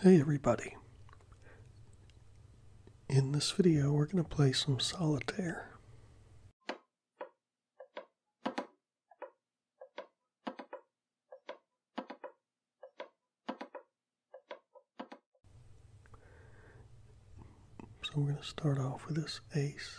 Hey everybody. In this video we're going to play some solitaire. So we're going to start off with this ace.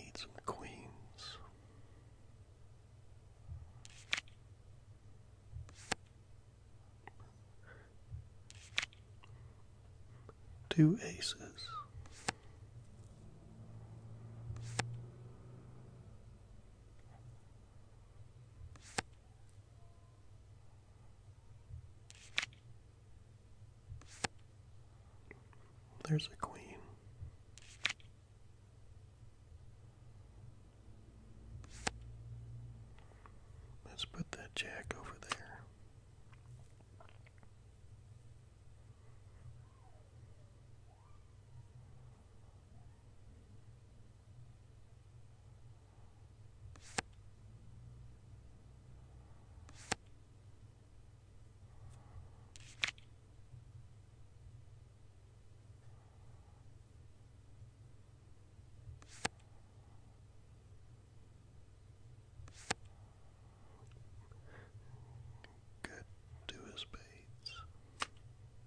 I some queens. Two aces. There's a queen. Let's put that jack over there. Good to his baits.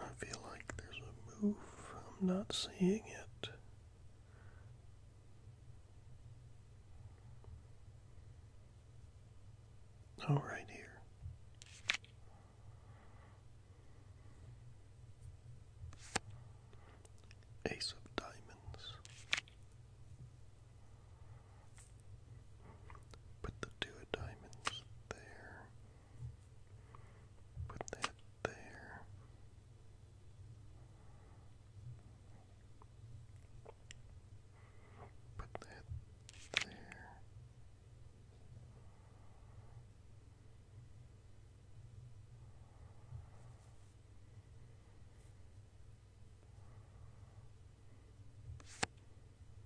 I feel like there's a move. I'm not seeing it. All right here. Ace of diamonds. Put the two of diamonds there. Put that there. Put that there.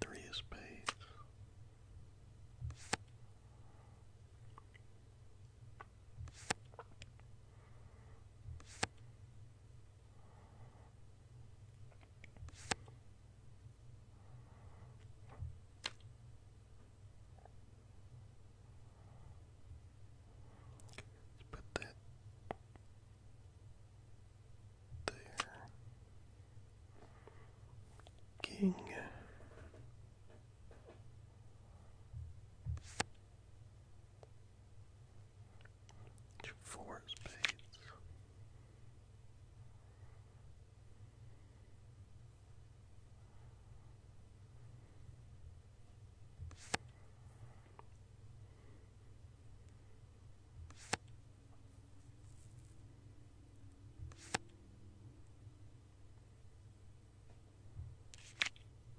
Three is spades. Put that there. King. Four spades.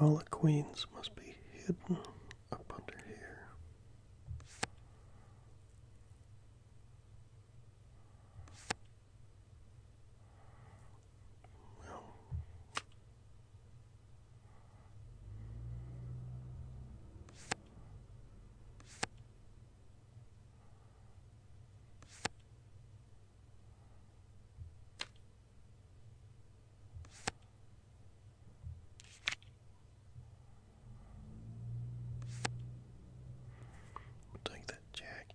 All the queens must be hidden up under here. Well, We'll take that jack.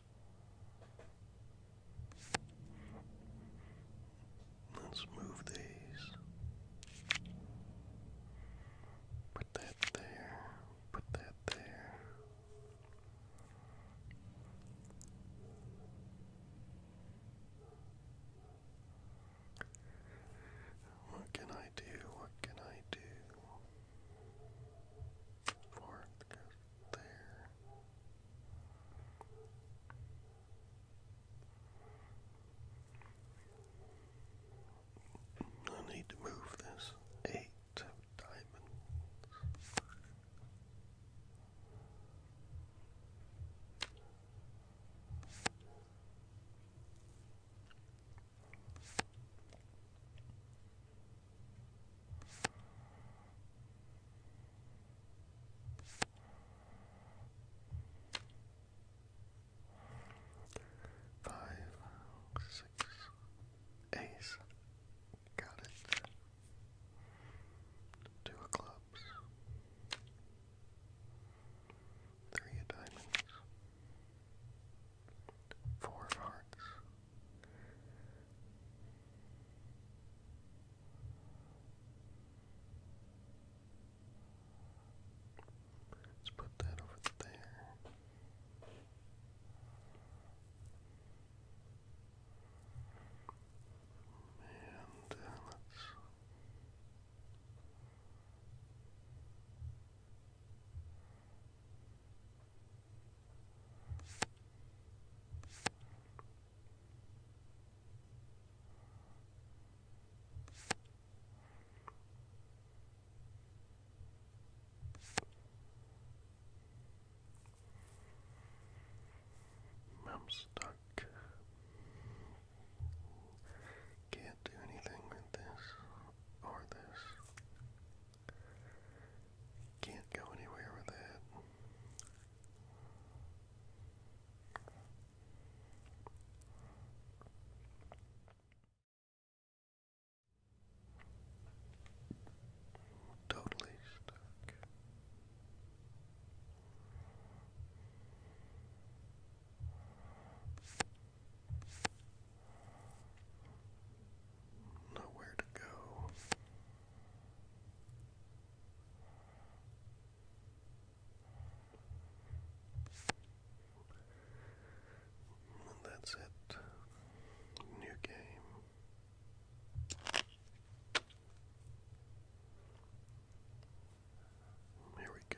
Let's move these. Put that there. Put that there. What can I do? What can I do? Four, I need to move this eight of diamonds. Five, six, ace. Got Two of clubs. Three of diamonds. Four of hearts. Let's put that over there. And uh, let's I'm stuck. Can't do anything with this or this. Can't go anywhere with that. Totally stuck. Nowhere to go that's it. New game. Here we go.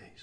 Ace. Ace.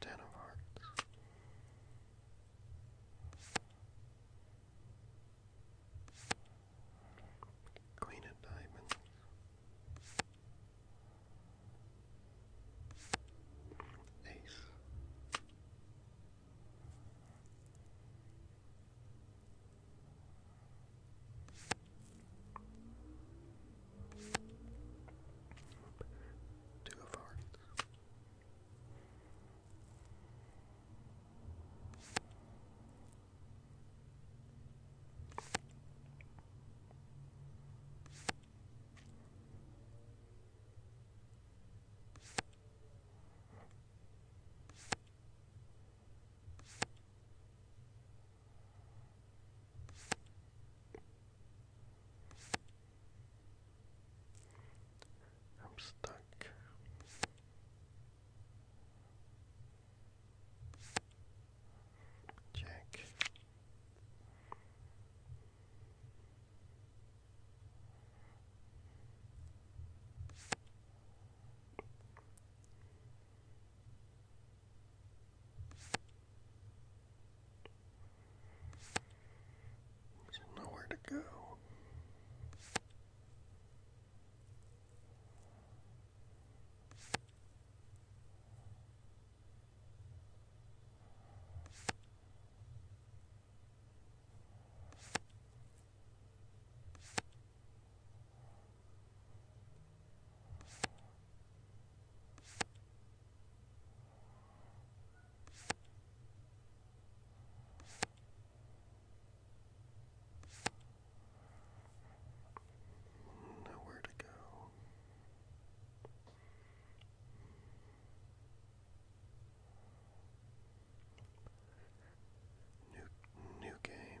Ten of Hearts. Queen of Diamonds. Ace. Two of hearts. I'm stuck. Check. There's nowhere to go. Nowhere to go. New new game.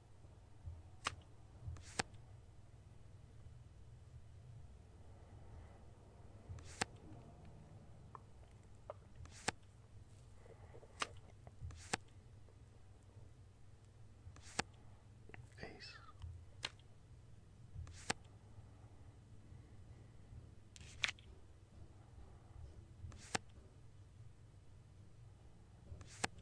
Ace.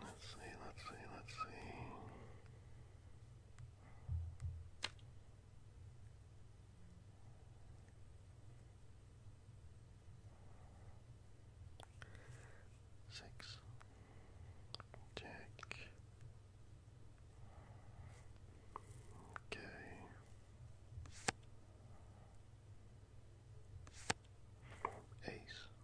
Let's see, let's see, let's see. Six. Jack. Okay. Ace.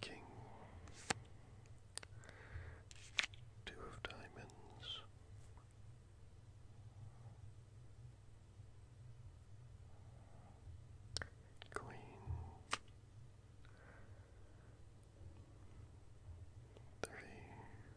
King, two of diamonds. Queen, three,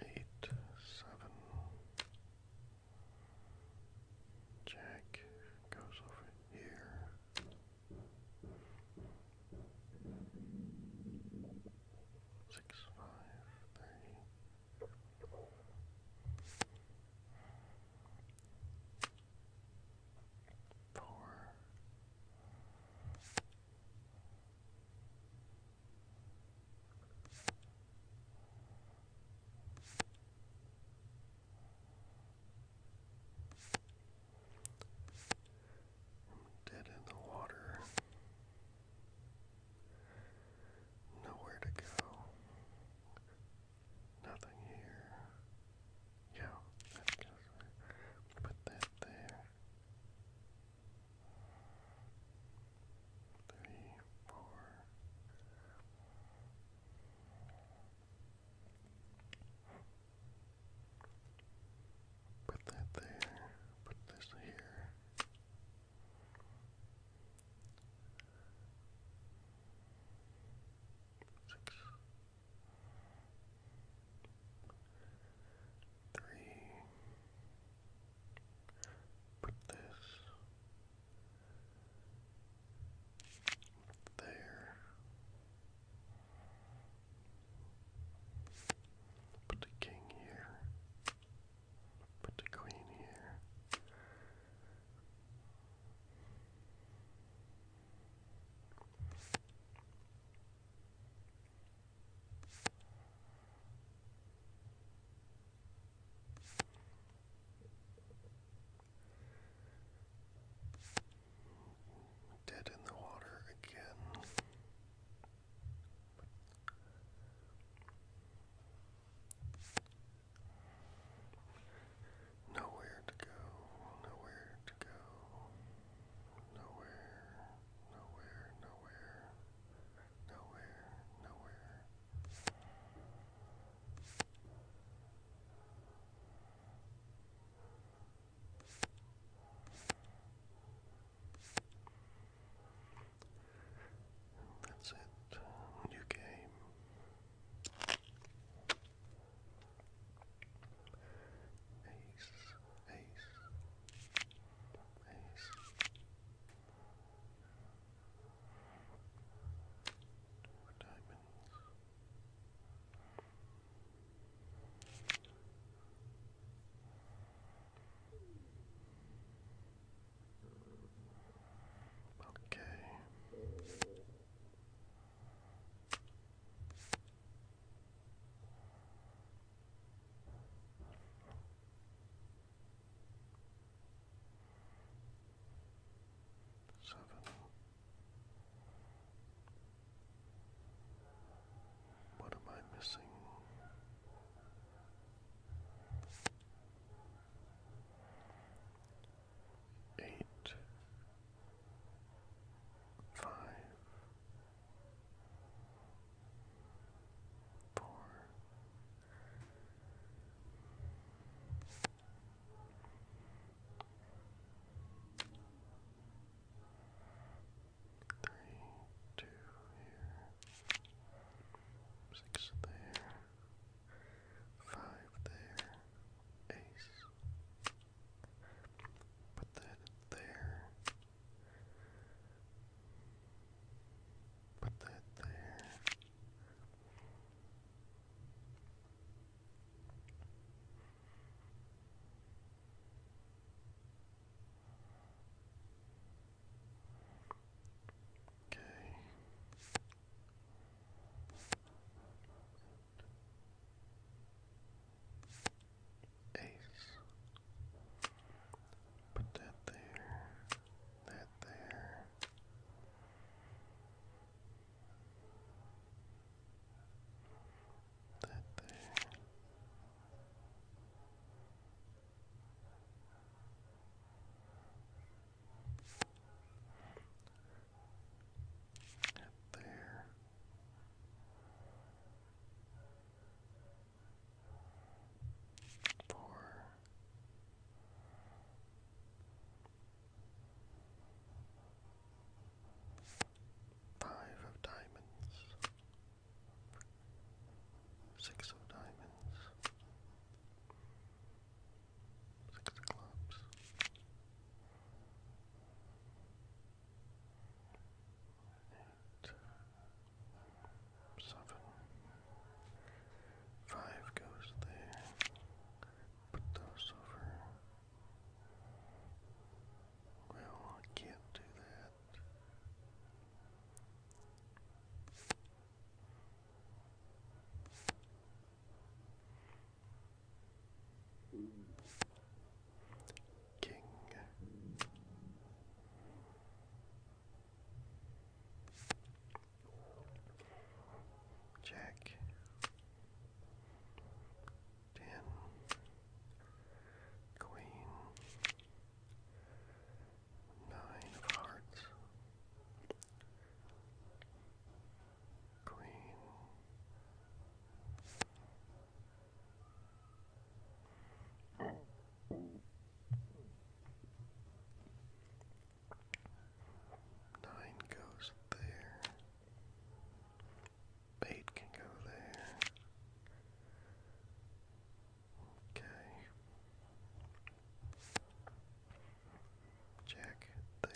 Eight, seven. Jack goes over here. Six, Four. Dead in the water. Nowhere to go. Nothing here. Yeah, Put that there. Three, four. Put that there. Put this here six, three. Put this there. Put the king here. Put the queen here. Dead in the water again. Nowhere to go, nowhere to go, nowhere, nowhere, nowhere, nowhere, nowhere. That's it. New game. Ace, ace, ace. diamonds. Okay. Seven. What am I missing? eight, five, four, three, two here, six there. Five there. Ace. Put that there. Put that there. Okay. Ace. Put that there. That there. That there there. Four. Five of diamonds, six of diamonds, Six clubs. Eight. Seven. Five goes there. Put those over. Well, I can't do that. King. Jack. Ten. Queen. Nine of hearts. Queen. Nine goes there. Eight can go there. Okay. Jack there.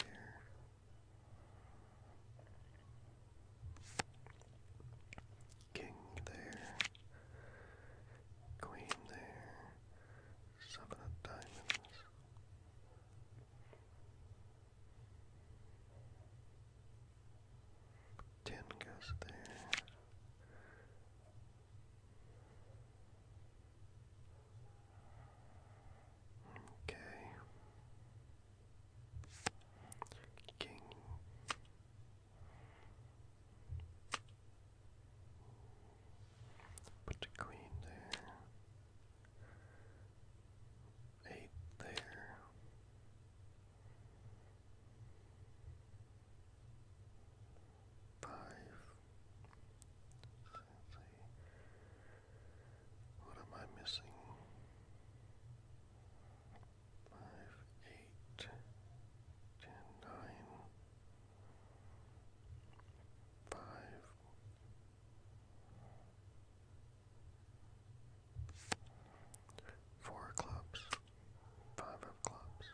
King there. Queen there. Seven of diamonds. Ten goes there. Okay. King. Put queen there. Eight there. Five what am I missing? Five, eight, ten, clubs, five of clubs,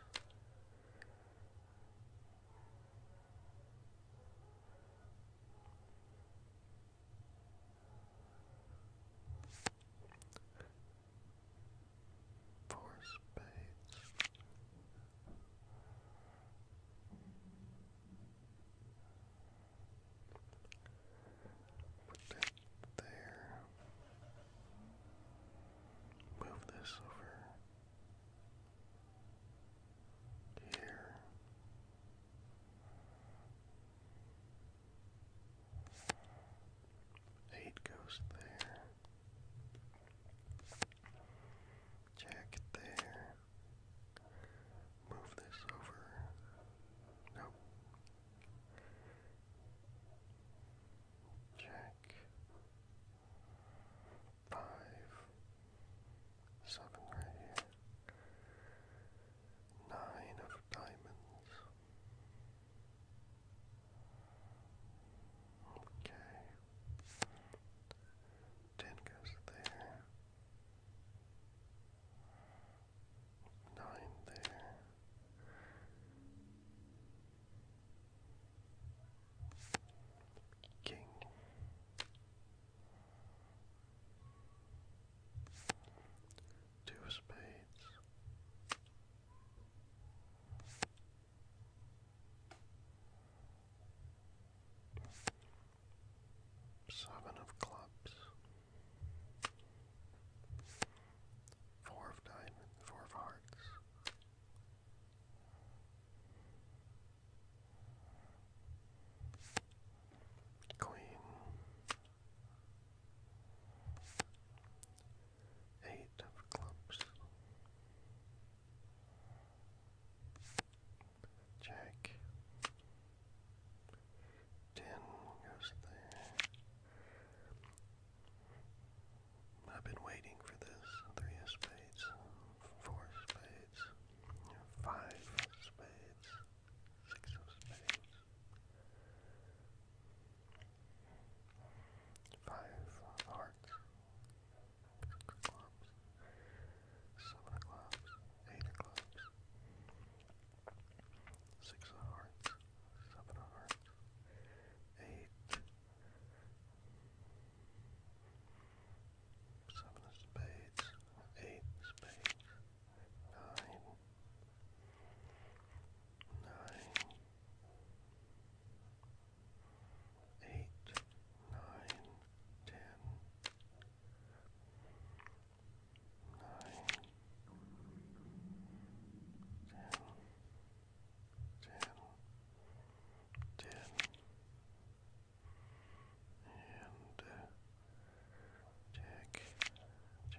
Four spades. Put that there. Move this over here, eight goes there, jack there, move this over, nope. Jack, five, seven right here, nine of diamonds. Okay, ten goes there, nine there. King. Two of spades. Seven of clubs. Four of diamonds. Four of hearts. Queen eight of clubs, Jack ten goes there. I've been waiting for this. Three of spades, four spades five spades, six of spades, five of hearts, seven of clubs, eight of clubs, six of hearts, seven of hearts, eight seven of spades, eight spades, nine, nine, eight, nine, ten, nine, ten, ten, ten, ten, and uh, check,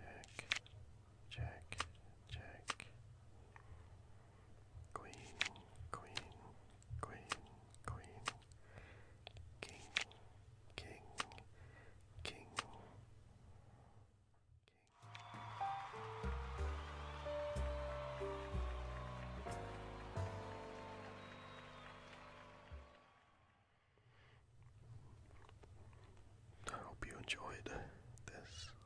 check, check, Queen, queen, queen, queen. King, king, king. King. I hope you enjoyed this.